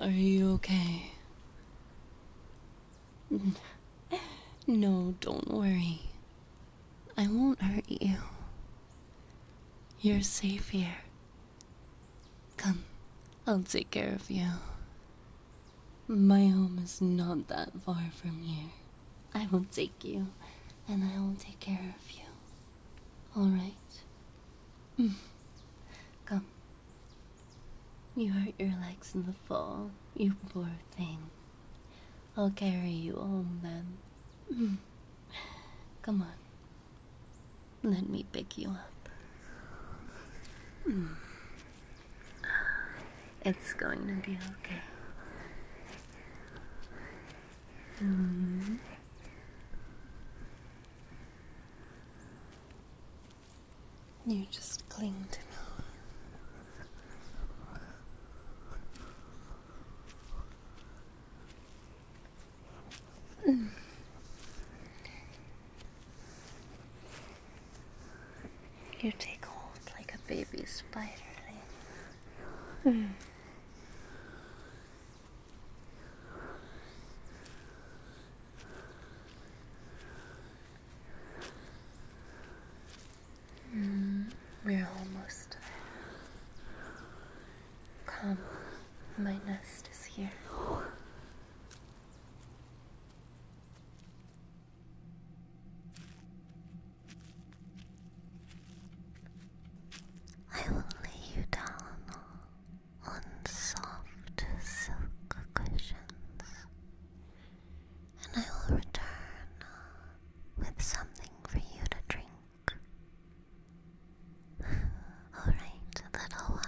Are you okay? No, don't worry. I won't hurt you. You're safe here. Come, I'll take care of you. My home is not that far from here. I will take you, and I will take care of you. Alright? Come. You hurt your legs in the fall, you poor thing. I'll carry you home then. Come on. Let me pick you up. Hmm. It's going to be okay. Hmm. You just cling to me. Mm. You take hold like a baby spider. Mm. Mm, we're almost there. Come, my nest is here. I will lay you down on soft silk cushions, and I will return with something for you to drink. Alright, little one.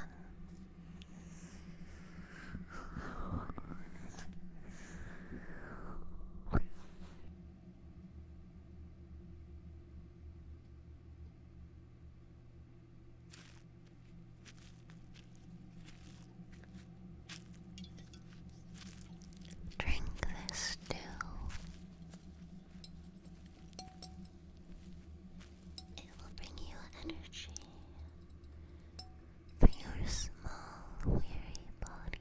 Drink this stew. It will bring you energy for your small, weary body.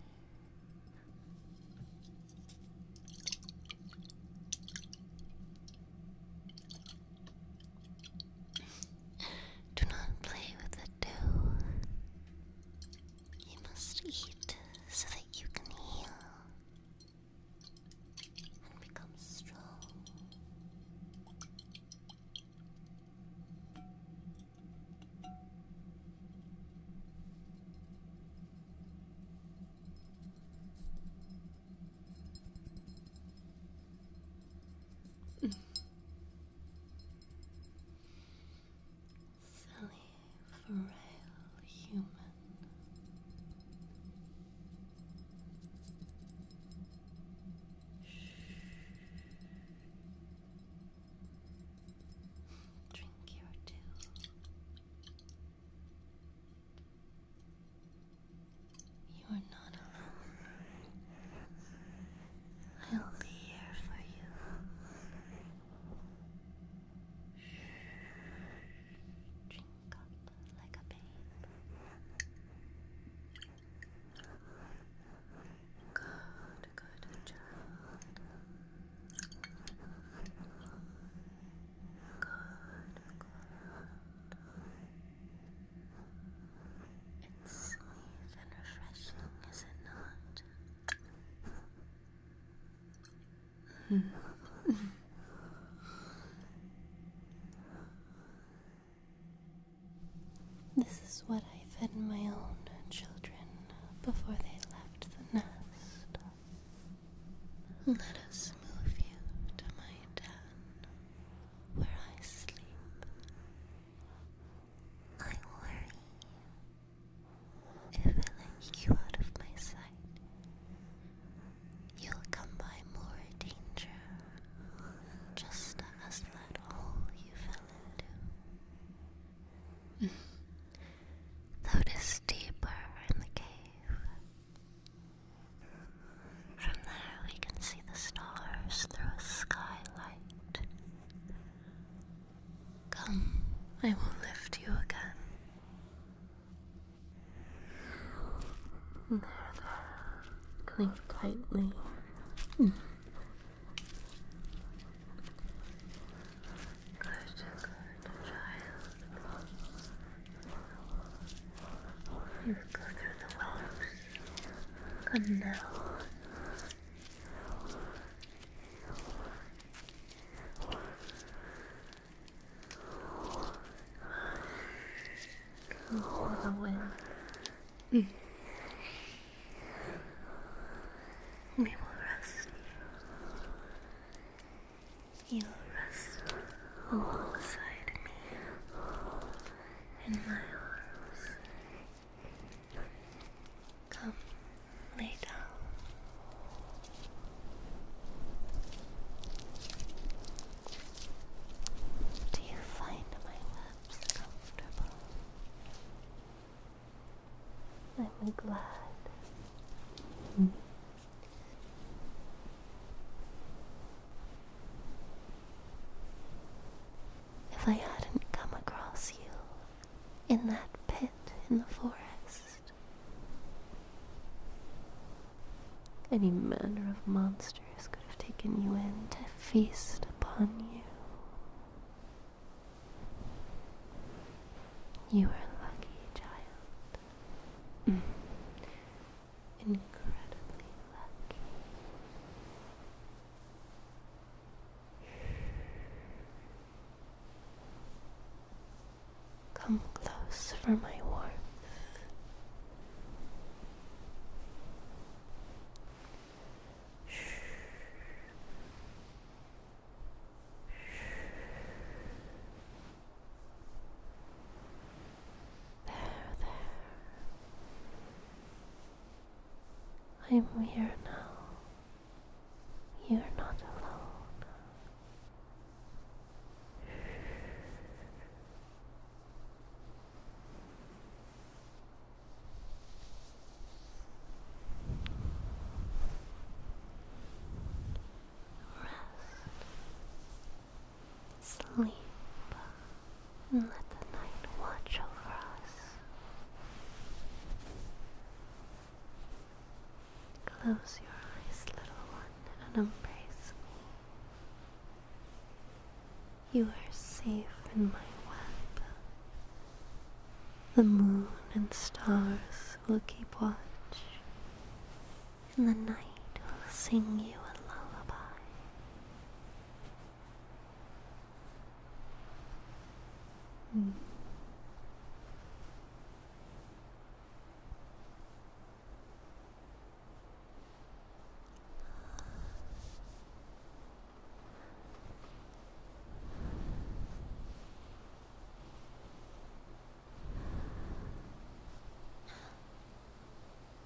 Do not play with the dough. You must eat so that you can heal and become strong. Silly, frail human. Shh. Drink your dew. You are not alone. I'll be here for you. Drink up like a babe. Good, good child. It's sweet and refreshing, is it this is what I fed my own children before they left the nest. Let us move you to my den where I sleep. I worry if I let you out of my sight, you'll come by more danger just as that hole you fell into. Though deeper in the cave, from there, we can see the stars through a skylight. Come, I will lift you again. There, there. Cling tightly. Mm. Good, good, we You go through the willows. Come now. Go the wind. Mm. We will rest. You rest alongside me in my arms. Come, lay down. Do you find my lips comfortable? I'm glad. If I hadn't come across you in that pit in the forest, any manner of monsters could have taken you in to feast upon you. You are lucky, child. Incredibly lucky. Come close for my warmth. There, there. I'm here now. You're not alone. Rest. Sleep. And let the night watch over us. Close your eyes, little one, and embrace me. You are safe in my web. The moon and stars will keep watch and the night will sing you a lullaby. Hmm.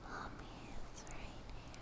Mommy is right here.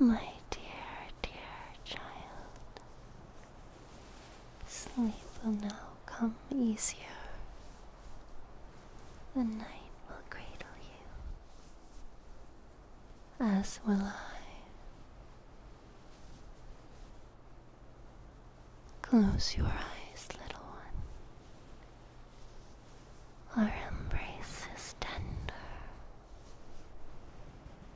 My dear, dear child, sleep will now come easier. The night will cradle you, as will I. Close your eyes, little one. Our embrace is tender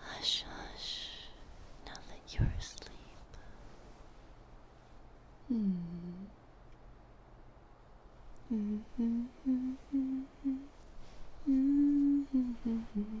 Hush, hush, now that you're asleep. Mm. Mm -hmm, mm -hmm, mm -hmm, mm -hmm. hmm. hmm. hmm.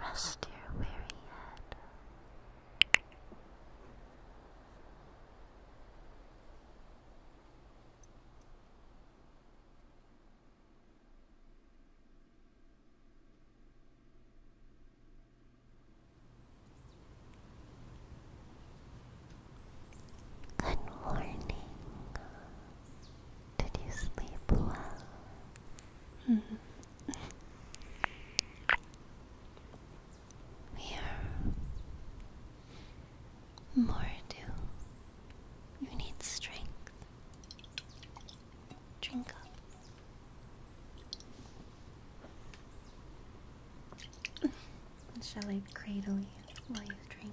Rest your weary head. Good morning. Did you sleep well? Mm-hmm. we are more do. You need strength. Drink up. Shall I cradle you while you drink?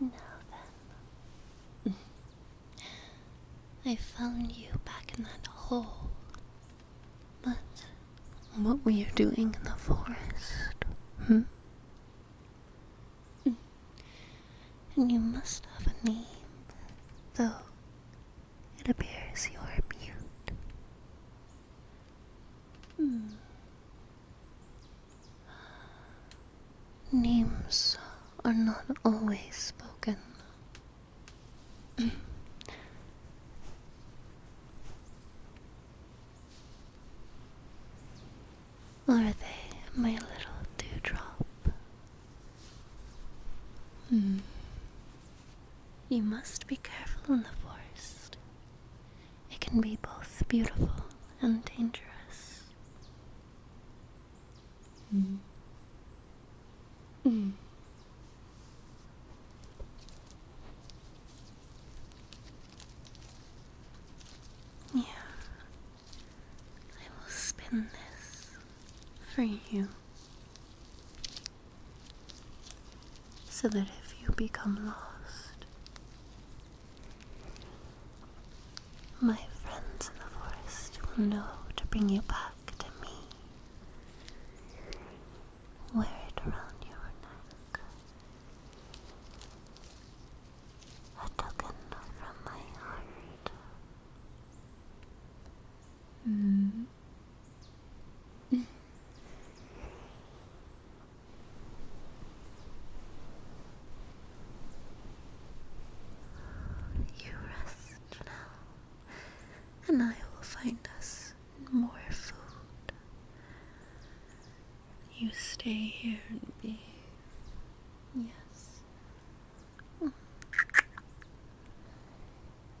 Now then, I found you back in that hole. But what were you doing in the forest? Hmm? And you must have a name, though it appears you are mute. Hmm. Names are not always spoken. are they my little dewdrop? Hmm. You must be careful in the forest. It can be both beautiful and dangerous. Mm. Mm. Yeah, I will spin this for you so that if you become lost, my friends in the forest will know to bring you back to me. Wear it around your neck. A token from my heart. Mm. you rest now, and I will find us more food. You stay here and be. Yes.